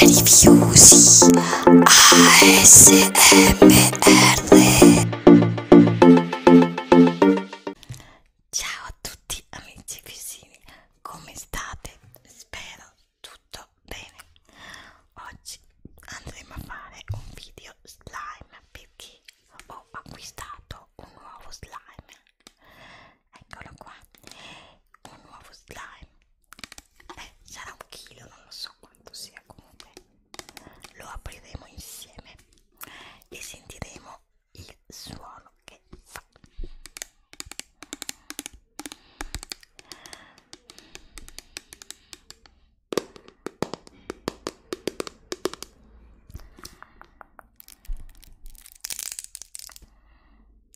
Rifiusi ASMR Ciao a tutti amici e vicini, come state? Spero tutto bene. Oggi andremo a fare un video slime perché ho acquistato un nuovo slime eccolo qua un nuovo slime eh, sarà un chilo non lo so quanto sia comunque lo apriremo insieme e sentiremo il suono che fa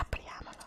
Apriamolo.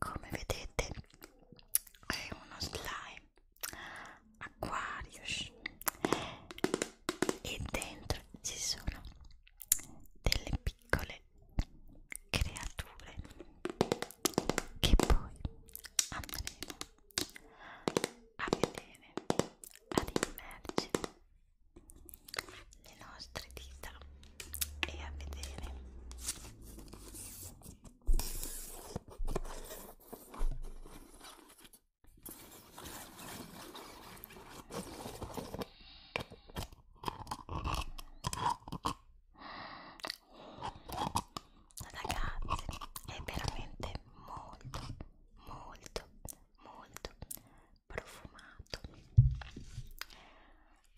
come vedete è uno slime Aquarius e dentro ci sono delle piccole creature che poi andremo a vedere ad immergere le nostre dita e a vedere Ragazzi, è veramente molto, molto, molto profumato.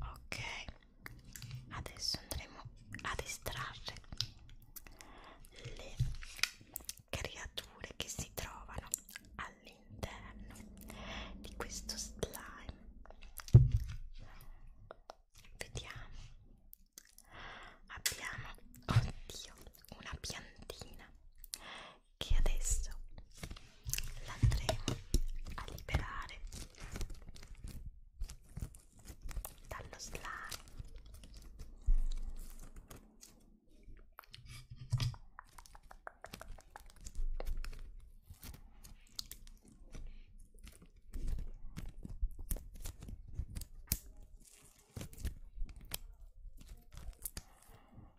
ok adesso andremo ad estrarre le creature che si trovano all'interno di questo slime vediamo abbiamo oddio una piantina che adesso l'andremo a liberare dallo slime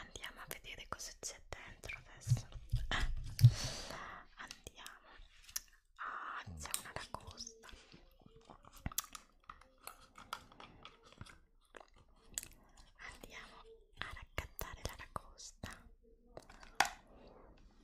Andiamo a vedere cosa c'è dentro adesso. Andiamo. Ah, c'è una lagosta. Andiamo a raccattare la lagosta.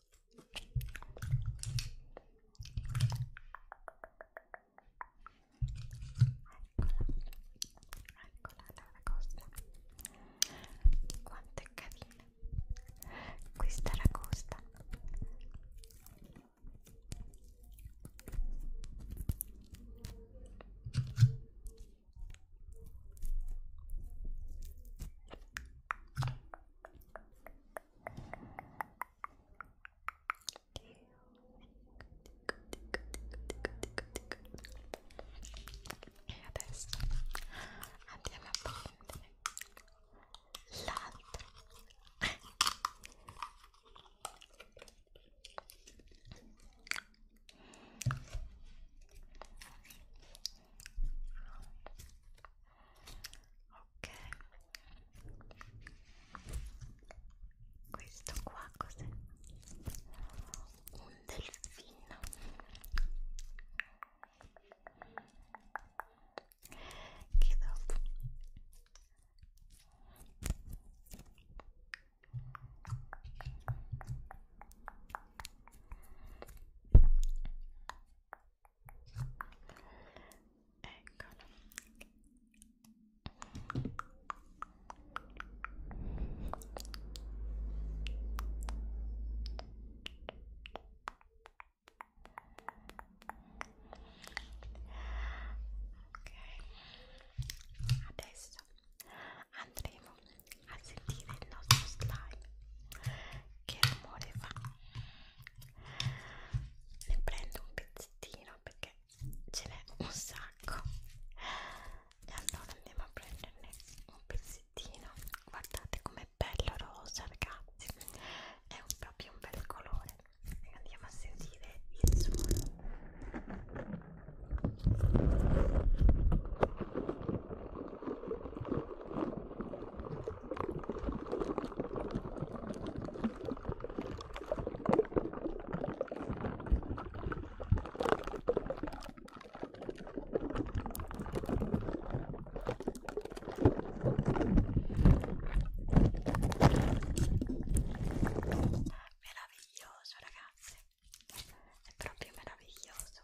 Laura Costa quanto è carina questa la costa Adesso andiamo a prendere l'altro ok Questo qua cos'è? Un delfino che dopo eccolo ok adesso andremo a sentire il nostro slime che rumore fa ne prendo un pezzettino perché ce n'è un sacco e allora andiamo a prenderne un pezzettino guardate com'è bello rosa ragazzi è un, proprio un bel colore andiamo a sentire il suono Meraviglioso ragazzi, è proprio meraviglioso.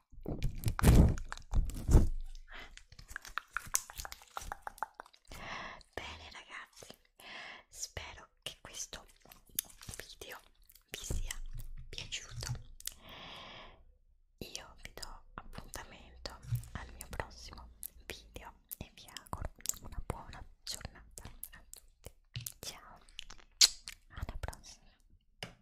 Bene ragazzi, spero che questo video vi sia piaciuto. Io vi do appuntamento al mio prossimo video e vi auguro una buona giornata a tutti. Ciao, alla prossima.